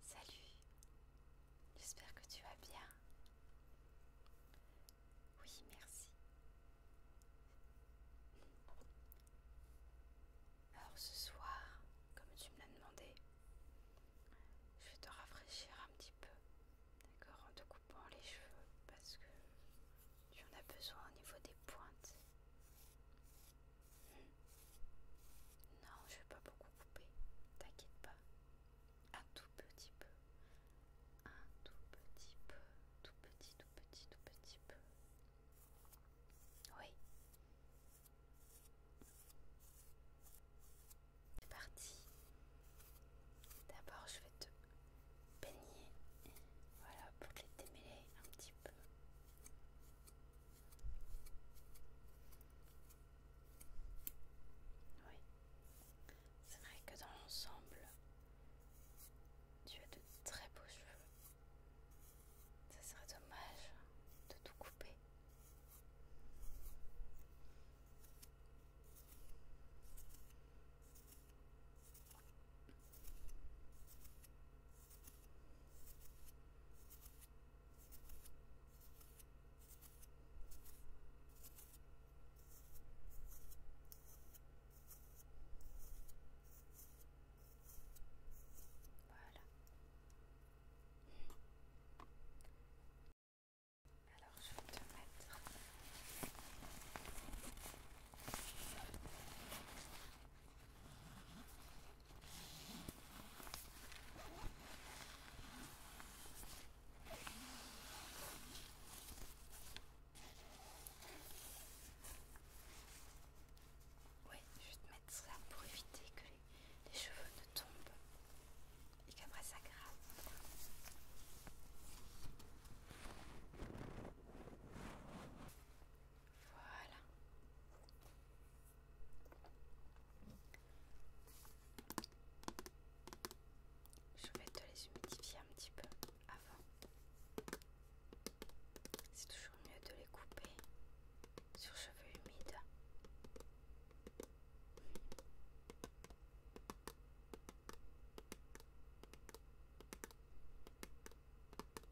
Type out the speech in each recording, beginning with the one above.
Salut, j'espère que tu vas bien. Oui, merci. Alors ce soir, comme tu me l'as demandé, je vais te rafraîchir un petit peu, d'accord, en te coupant les cheveux parce que tu en as besoin au niveau des pointes. Non, je vais pas beaucoup couper, t'inquiète pas. Un tout petit peu. Un tout petit peu. Tout petit, tout petit, tout petit peu. Oui. C'est parti. D'abord, je vais te baigner. Voilà, pour les démêler un petit peu. Oui, c'est vrai que dans l'ensemble, tu as de très beaux cheveux. Ça serait dommage de tout couper. Voilà. Alors je vais te mettre oui, je vais te mettre ça pour éviter que les, cheveux ne tombent et qu'après ça grave. Voilà. Je vais te les humidifier un petit peu avant. C'est toujours mieux de les couper sur cheveux humides.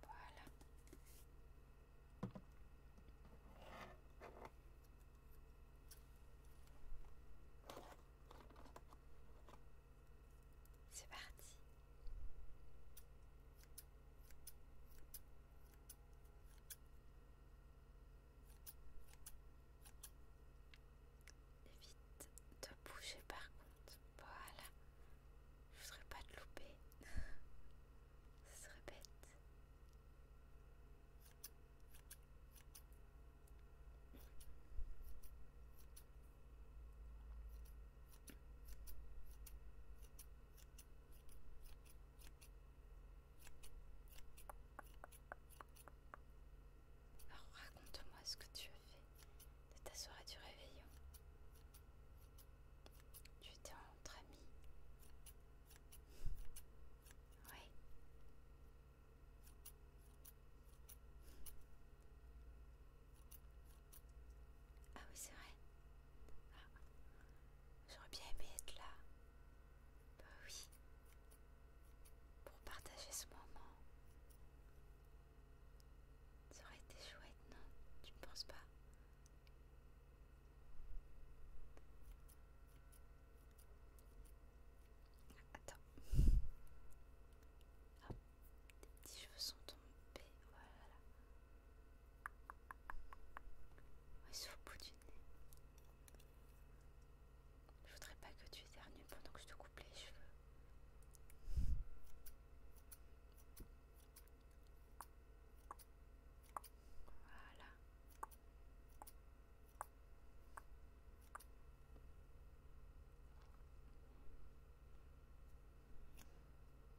Voilà. C'est parti. Évite de bouger par contre. Voilà. Je voudrais pas te louper. Ce serait bête raconte-moi ce que tu as fait de ta soirée du réveillon. Tu étais entre amis. Oui. Ah oui, c'est vrai. Ah. J'aurais bien aimé être là. Bah oui. Pour partager ce moment. Ça aurait été chouette, non Tu ne penses pas Attends. tes petits cheveux sont voilà. Je voudrais pas que tu éternues pendant que je te coupe les cheveux. Voilà.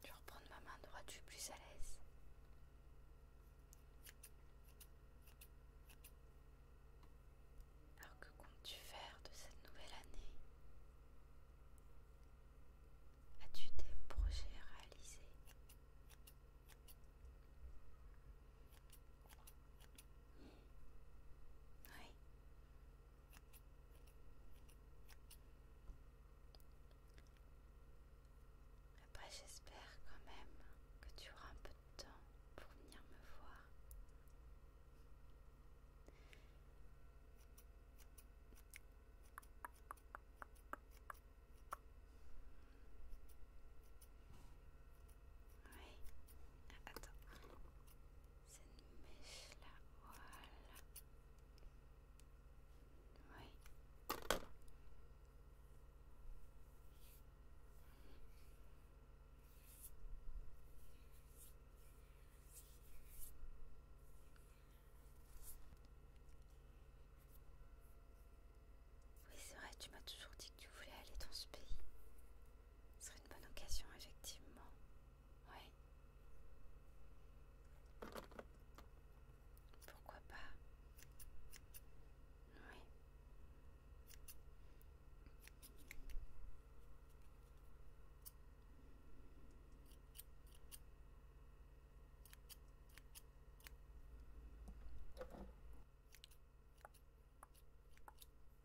Je vais reprendre ma main droite, je plus à l'aise. Alors que comptes-tu faire de cette nouvelle année As-tu des projets réalisés Oui. Après j'espère quand même que tu auras un peu de temps pour venir me voir. Oui, attends cette mèche là, Oui. Oui, c'est vrai, tu m'as toujours dit que tu voulais aller dans ce pays. Ce serait une bonne occasion, effectivement. Oui. Pourquoi pas Oui.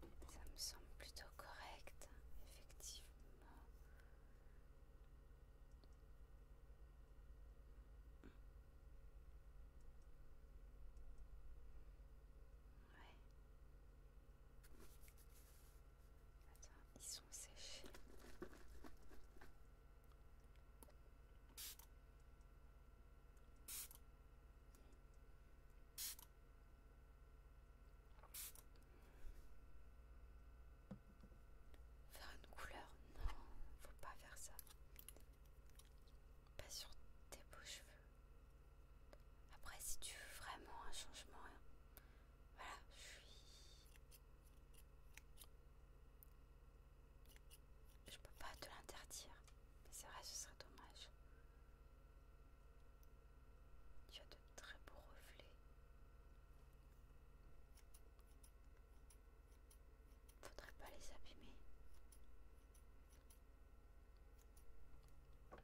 Ça me semble plutôt correct, effectivement. Ouais. Attends, ils sont séchés. Faire une couleur, non, faut pas faire ça. Pas sur tes beaux cheveux. Après, si tu veux vraiment un changement, hein, voilà, je suis. Je peux pas te l'interdire, mais c'est vrai, ce serait dommage. Tu as de très beaux reflets. Faudrait pas les abîmer. Ouais.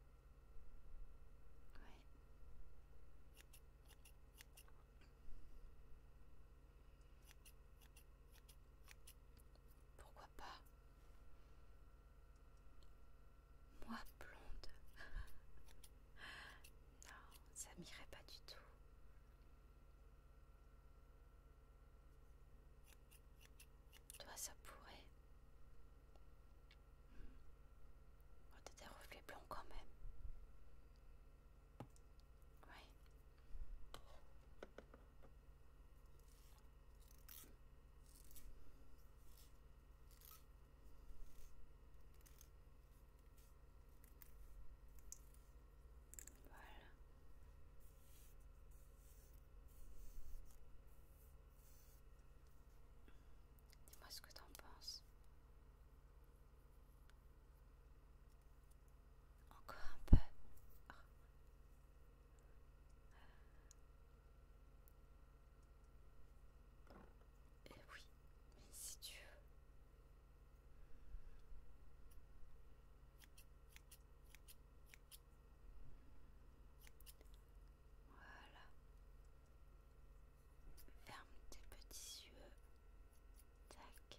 Pourquoi pas moi blonde Non, ça m'irait pas du tout. Toi, ça pourrait. Hmm. Oh, t'as des reflets quand même. Oui. Voilà. Dis-moi ce que t'en penses. Encore un peu. Eh oui, si tu veux. Voilà. Ferme tes petits yeux. Tac.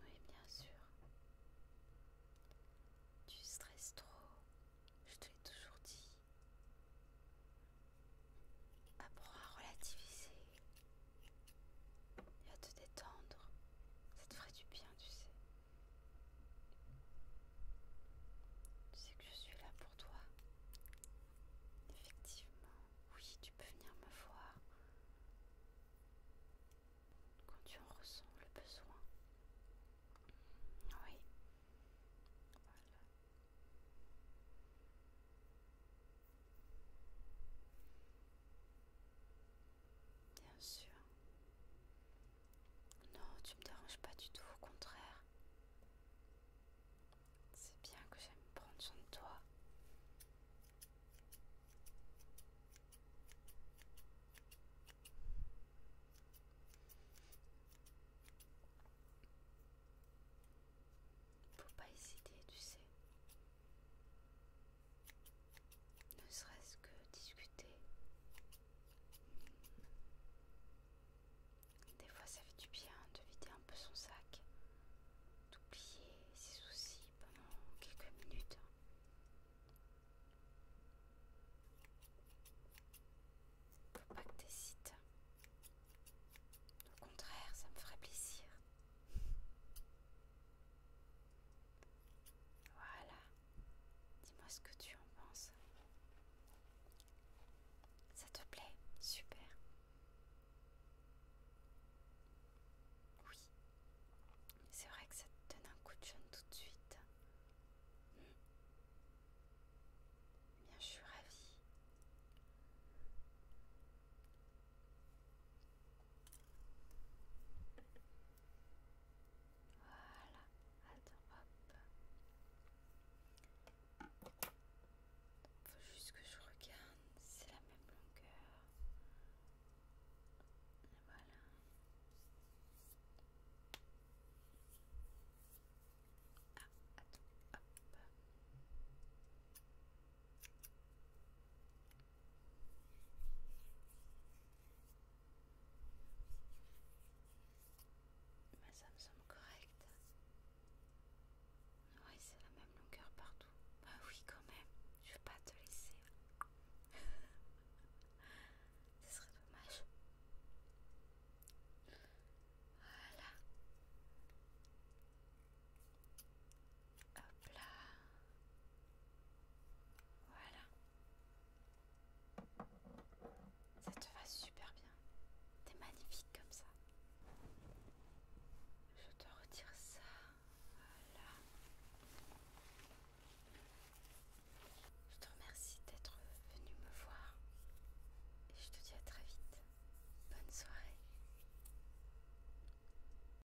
Oui, bien sûr. Tu stresses trop. Je te l'ai toujours dit. Apprends à relativiser et à te détendre. Ça te ferait du bien, tu sais. Tu sais que je suis là pour toi. Effectivement, oui, tu peux venir me voir quand tu en ressens le besoin. Oui. Voilà. Bien sûr. Non, tu me déranges pas du tout, au contraire. C'est bien que j'aime prendre soin de toi. Faut pas hésiter, tu sais. Ne serait-ce que discuter. Des fois ça fait du bien de vider un peu son sac, d'oublier ses soucis pendant quelques minutes. Faut pas que t'hésites. Au contraire, ça me ferait plaisir. Voilà. Dis-moi ce que tu en penses. Ça te plaît Super. Oui. C'est vrai que ça te donne un coup de jeune tout de suite. Bien, je suis ravie. Voilà, attends, hop. Faut juste que je regarde, c'est la même longueur. voilà. Ah, attends, hop. Mais ça me semble correct. Ouais, c'est la même longueur partout. Bah oui, quand même. Je vais pas te laisser. Ce serait dommage. Voilà. Hop là. Voilà. Ça te va super bien. T'es magnifique comme ça. Je te retire ça. Voilà. Je te remercie d'être venu me voir. Et je te dis à très vite. Bonne soirée.